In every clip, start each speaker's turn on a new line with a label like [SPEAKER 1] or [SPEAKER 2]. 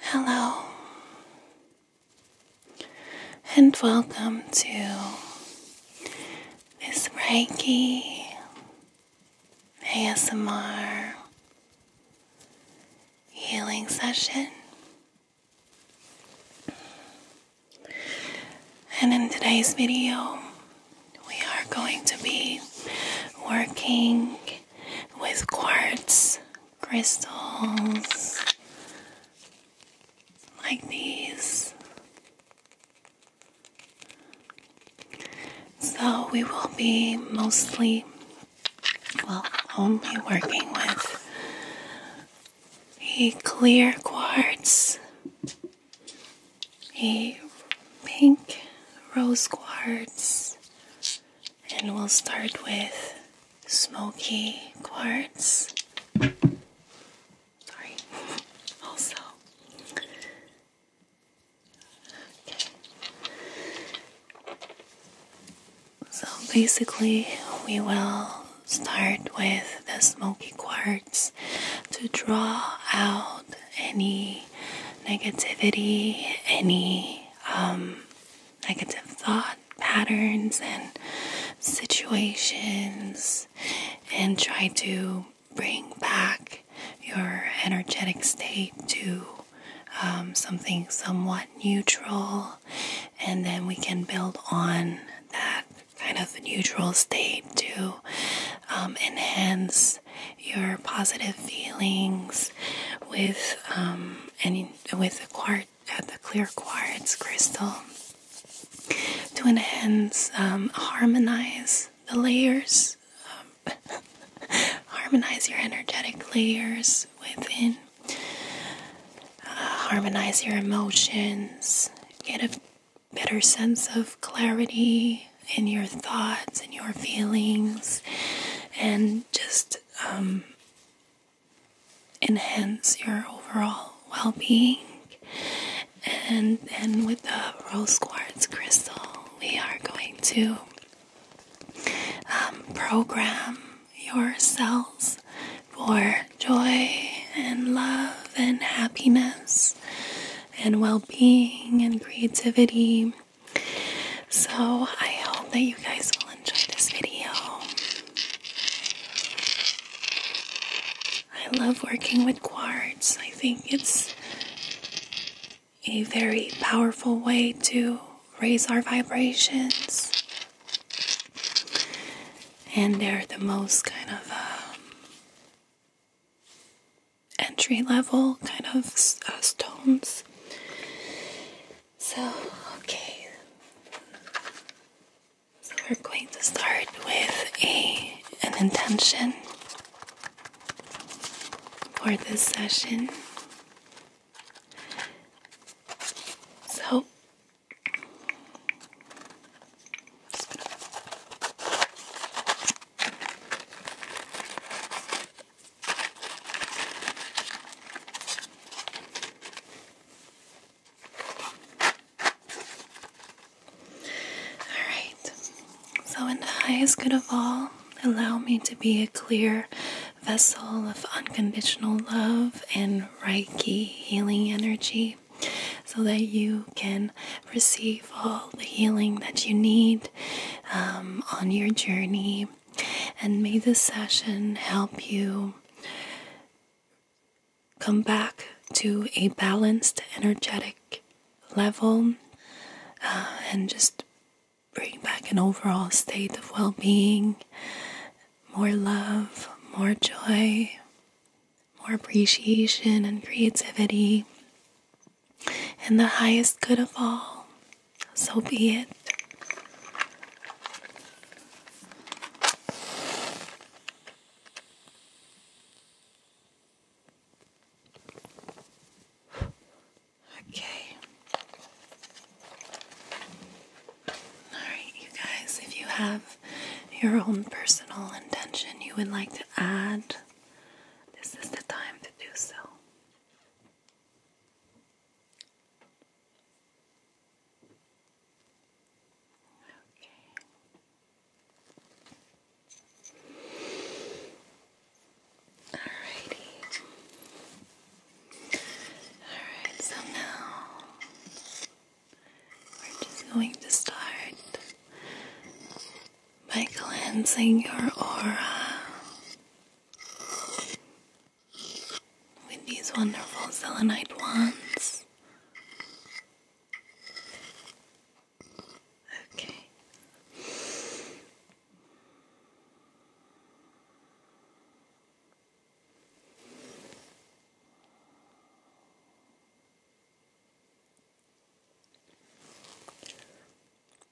[SPEAKER 1] Hello, and welcome to this Reiki ASMR healing session. And in today's video, we are going to be working with quartz crystals like these. So we will be mostly, well, only working with a clear quartz, a pink rose quartz, and we'll start with smoky quartz. Sorry. also. Okay. So basically, we will start with the smoky quartz to draw out any negativity, any um, negative thought patterns and situations, and try to bring back your energetic state to um, something somewhat neutral, and then we can build on that kind of neutral state to um, enhance your positive feelings with um, and with the quartz, uh, the clear quartz crystal to enhance, um, harmonize the layers, um, harmonize your energetic layers within, uh, harmonize your emotions, get a better sense of clarity in your thoughts and your feelings and just um, enhance your overall well being. And then with the rose quartz crystal, we are going to um, program your cells for joy and love and happiness and well being and creativity so I hope that you guys will enjoy this video. I love working with quartz. I think it's a very powerful way to raise our vibrations. And they're the most kind of um, entry level kind of uh, stones. So, okay. So we're going to start with a an intention for this session. So Alright, so in the highest good of all, allow me to be a clear vessel of unconditional love and Reiki healing energy so that you can receive all the healing that you need um, on your journey and may this session help you come back to a balanced energetic level uh, and just bring back an overall state of well being, more love, more joy, more appreciation and creativity and the highest good of all. So be it. Okay. All right, you guys, if you have your own personal intention you would like to add, this is the time to do so. Okay. Alrighty. Alright, so now we're just going to start by cleansing your aura with these wonderful zelenite wands. Okay.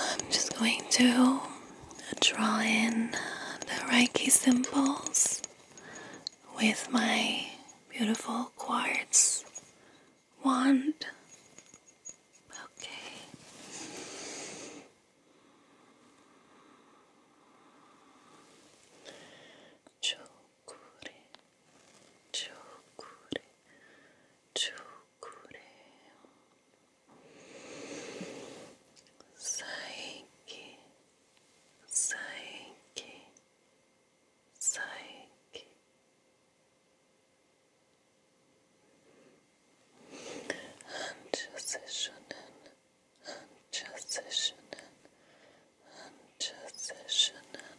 [SPEAKER 1] I'm just going to draw in the Reiki symbols with my beautiful quartz wand. Okay. Chokure, chokure, chokure. Saiki, saiki, psyche. Ançasışının, ançasışının, ançasışının.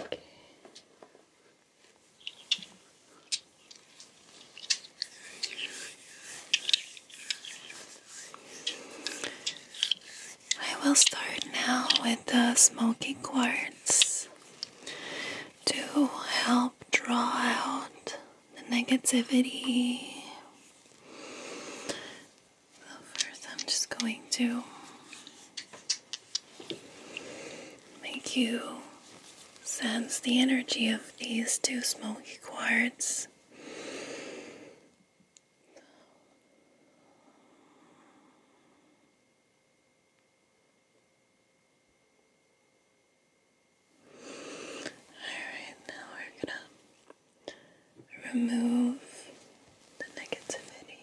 [SPEAKER 1] Okay. I will start now with the smoky quartz to help draw out the negativity. first, I'm just going to make you sense the energy of these two smoky quartz. Alright, now we're gonna remove the negativity.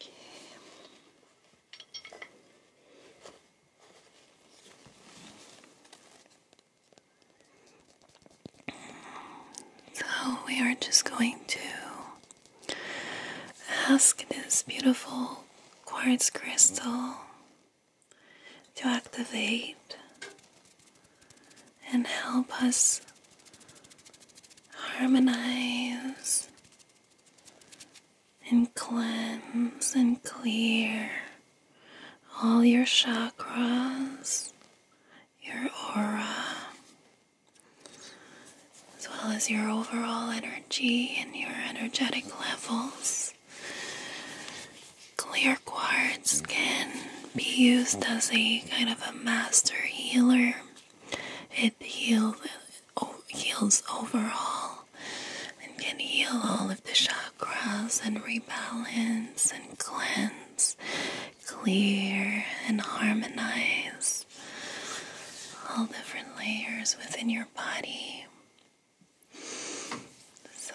[SPEAKER 1] Okay. So we are just going to ask this beautiful quartz crystal to activate and help us harmonize and cleanse and clear all your chakras, your aura, as well as your overall energy and your energetic levels. Clear quartz skin be used as a kind of a master healer. It heals, heals overall and can heal all of the chakras and rebalance and cleanse, clear and harmonize all different layers within your body. So,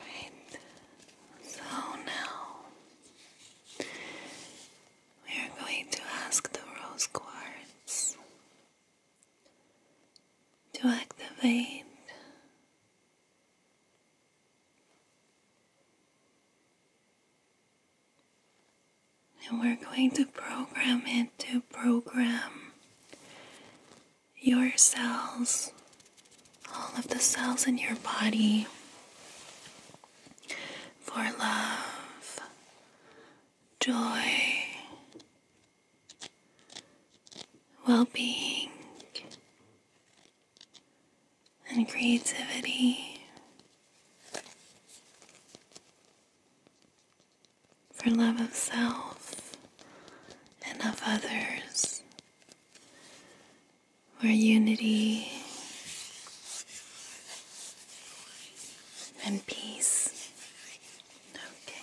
[SPEAKER 1] Alright, so now we are going to ask the rose quartz to activate and we're going to program it to program your cells, all of the cells in your body, for love, joy, well being, and creativity for love of self and of others, for unity and peace. Okay.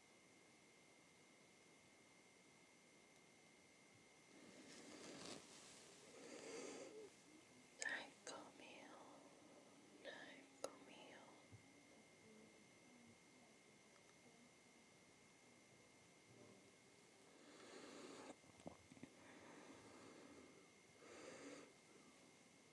[SPEAKER 1] Narco mío, narco mío.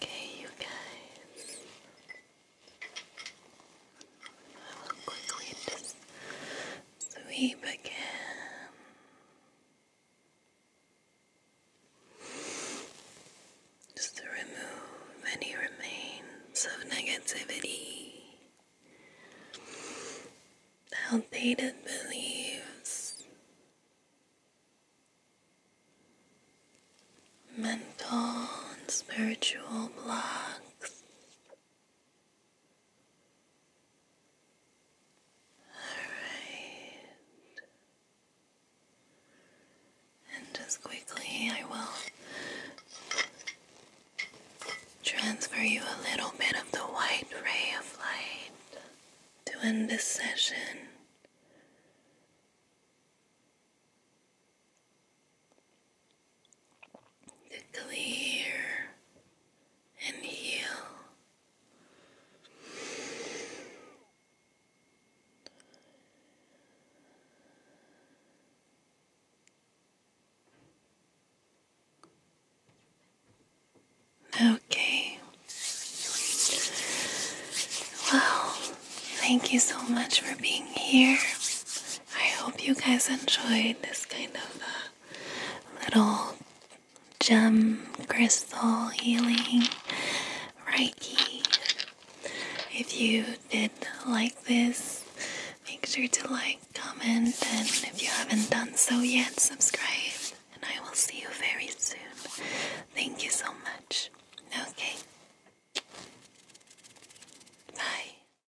[SPEAKER 1] Okay, you guys. I will quickly just sweep again. Just to remove any remains of negativity, outdated beliefs, mental and spiritual blocks. Alright. And just quickly, I will transfer you a little bit of the white ray of light to end this session to clear and heal. Okay. Well, thank you so much for being here. I hope you guys enjoyed this kind of uh, little gem crystal healing Reiki. If you did like this, make sure to like, comment, and if you haven't done so yet, subscribe. And I will see you very soon. Thank you so much. Okay. Bye.